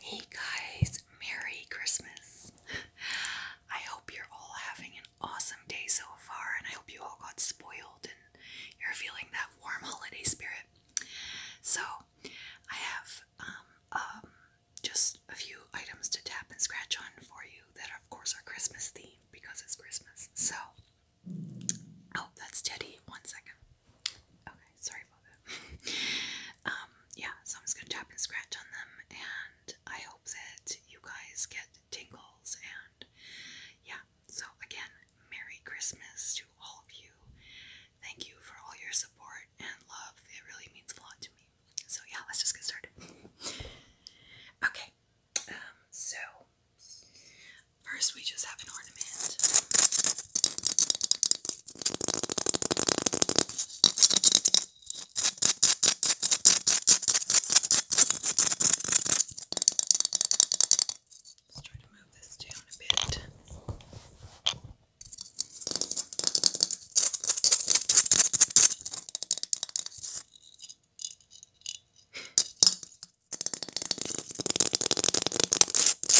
Hey guys, Merry Christmas! I hope you're all having an awesome day so far, and I hope you all got spoiled and you're feeling that warm holiday spirit. So, I have um, um, just a few items to tap and scratch on for you that, of course, are Christmas themed because it's Christmas. So, oh, that's Teddy. One second. Okay, sorry about that. Um, yeah, so I'm just gonna tap and scratch on them, and I hope that you guys get tingles. And yeah, so again, Merry Christmas to all of you. Thank you for all your support and love. It really means a lot to me. So yeah, let's just get started. okay, um, so first we just have an ornament. Let's try to move this down a bit.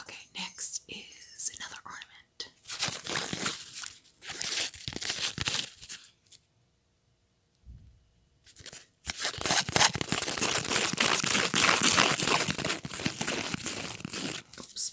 Okay, next is another ornament. Oops.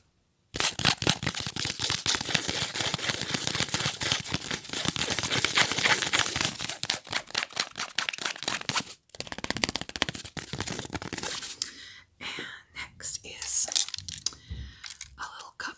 And next is a little cup.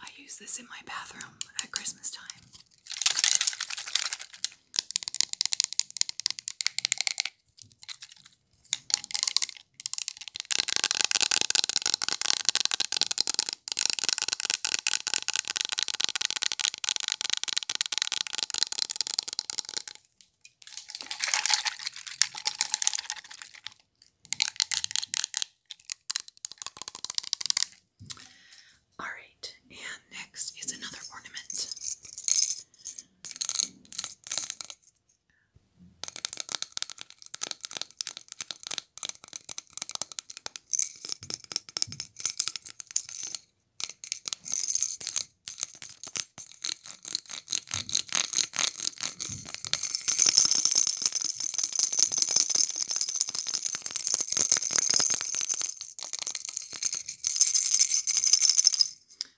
I use this in my bathroom at Christmas time. All right, and next is another ornament.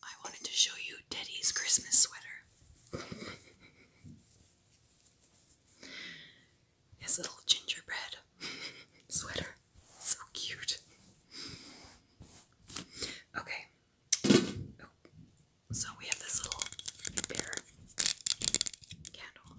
I wanted to show you Teddy's Christmas sweater. His little gingerbread sweater so cute. Okay. Oh. So we have this little bear candle.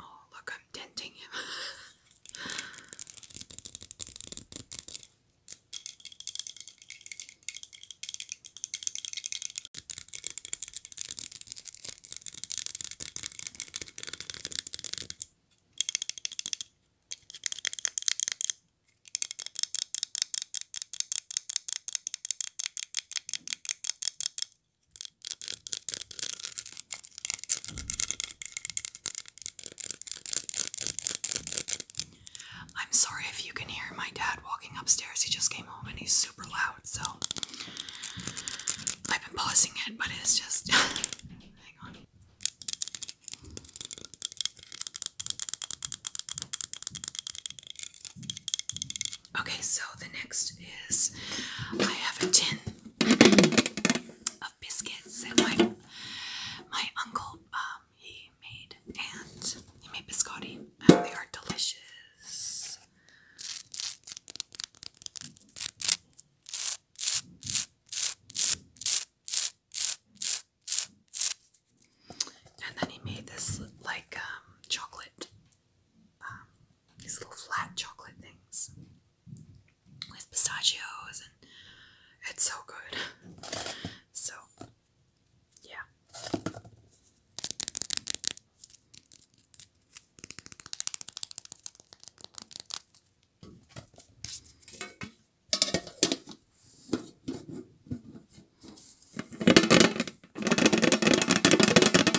Oh, look, I'm denting him. I'm sorry if you can hear my dad walking upstairs. He just came home and he's super loud, so I've been pausing it, but it's just. Okay, so the next is I have a ten of biscuits and my my uncle um he made and he made biscotti and they are delicious. And then he made this like um, chocolate um, these little flat chocolate things with pistachios, and it's so good. So, yeah.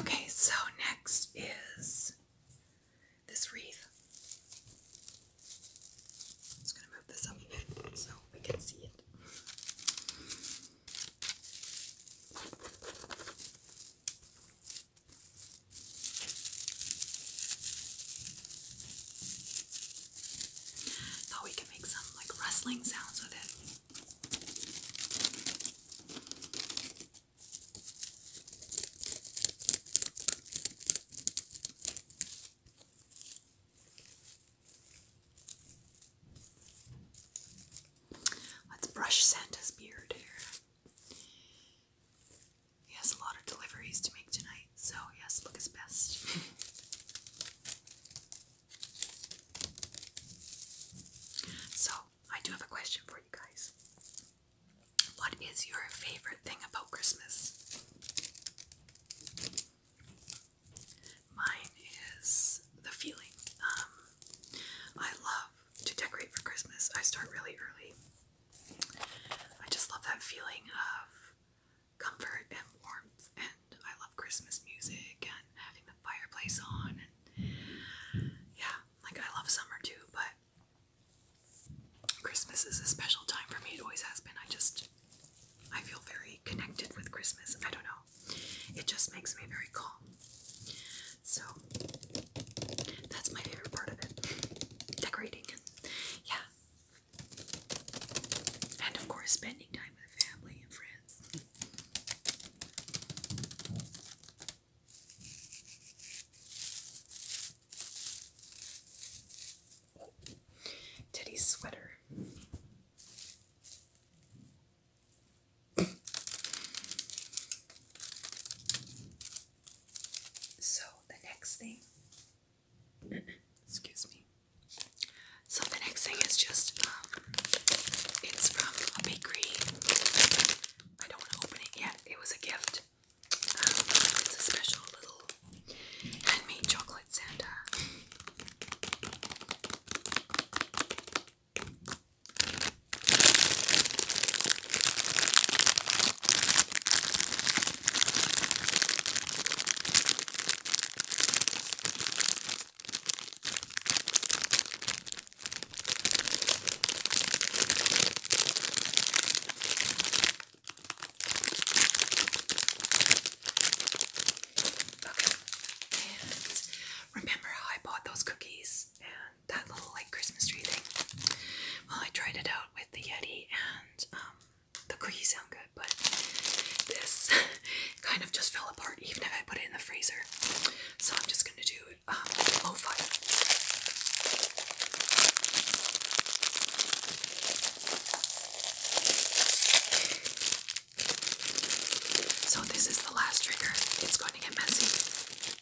Okay, so next is this wreath. I'm just going to move this up a bit so we can see it. Thought we could make some like rustling sounds with it. Let's brush Santa's beard here. He has a lot of deliveries to make tonight, so yes, has to look his best. so, I do have a question for you guys. What is your favorite thing about Christmas? Mine is the feeling. Um, I love to decorate for Christmas. I start really early. I just love that feeling of comfort and warmth, and I love Christmas music and having the fireplace on. And yeah, like I love summer too, but Christmas is a special time for me. It always has been. I just I feel very connected with Christmas. I don't know. It just makes me very calm. So that's my favorite part of it. Decorating and yeah. And of course spending time with family and friends. Teddy sweater. So the next thing, excuse me. So the next thing is just, um, it's from a bakery. I don't want to open it yet. It was a gift. Um, it's a special little Handmade chocolate Santa and remember how I bought those cookies and that little like Christmas tree thing? Well, I tried it out with the Yeti and um, the cookies sound good, but this kind of just fell apart even if I put it in the freezer. So I'm just going to do um, so, this is the last trigger. It's going to get messy.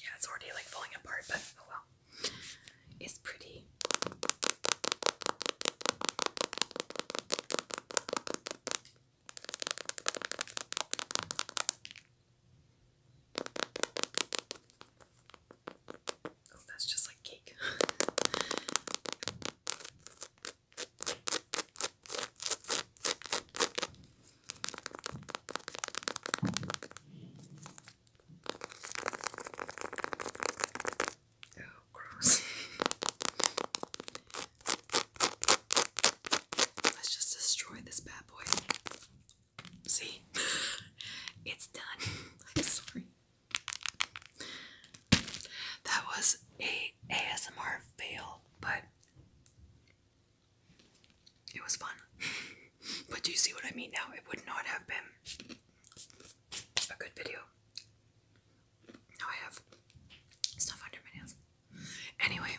Yeah, it's already like falling apart, but oh well. It's pretty. Oh, that's just like cake. oh, gross. Let's just destroy this bad boy. See? it's done. I'm sorry. That was a ASMR fail, but it was fun. but do you see what I mean now? It would not have been a good video. Now I have stuff under my nails. Anyway,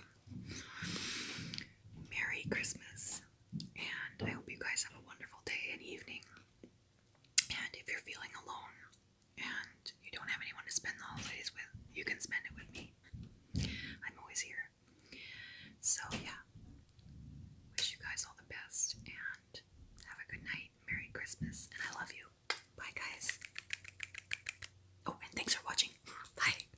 Merry Christmas. And I hope you guys have a wonderful day and evening. And if you're feeling alone and you don't have anyone to spend the holidays with, you can spend it with me. I'm always here. So, yeah. Wish you guys all the best and have a good night. Merry Christmas. And I love you. Bye, guys. Oh, and thanks for watching. Bye.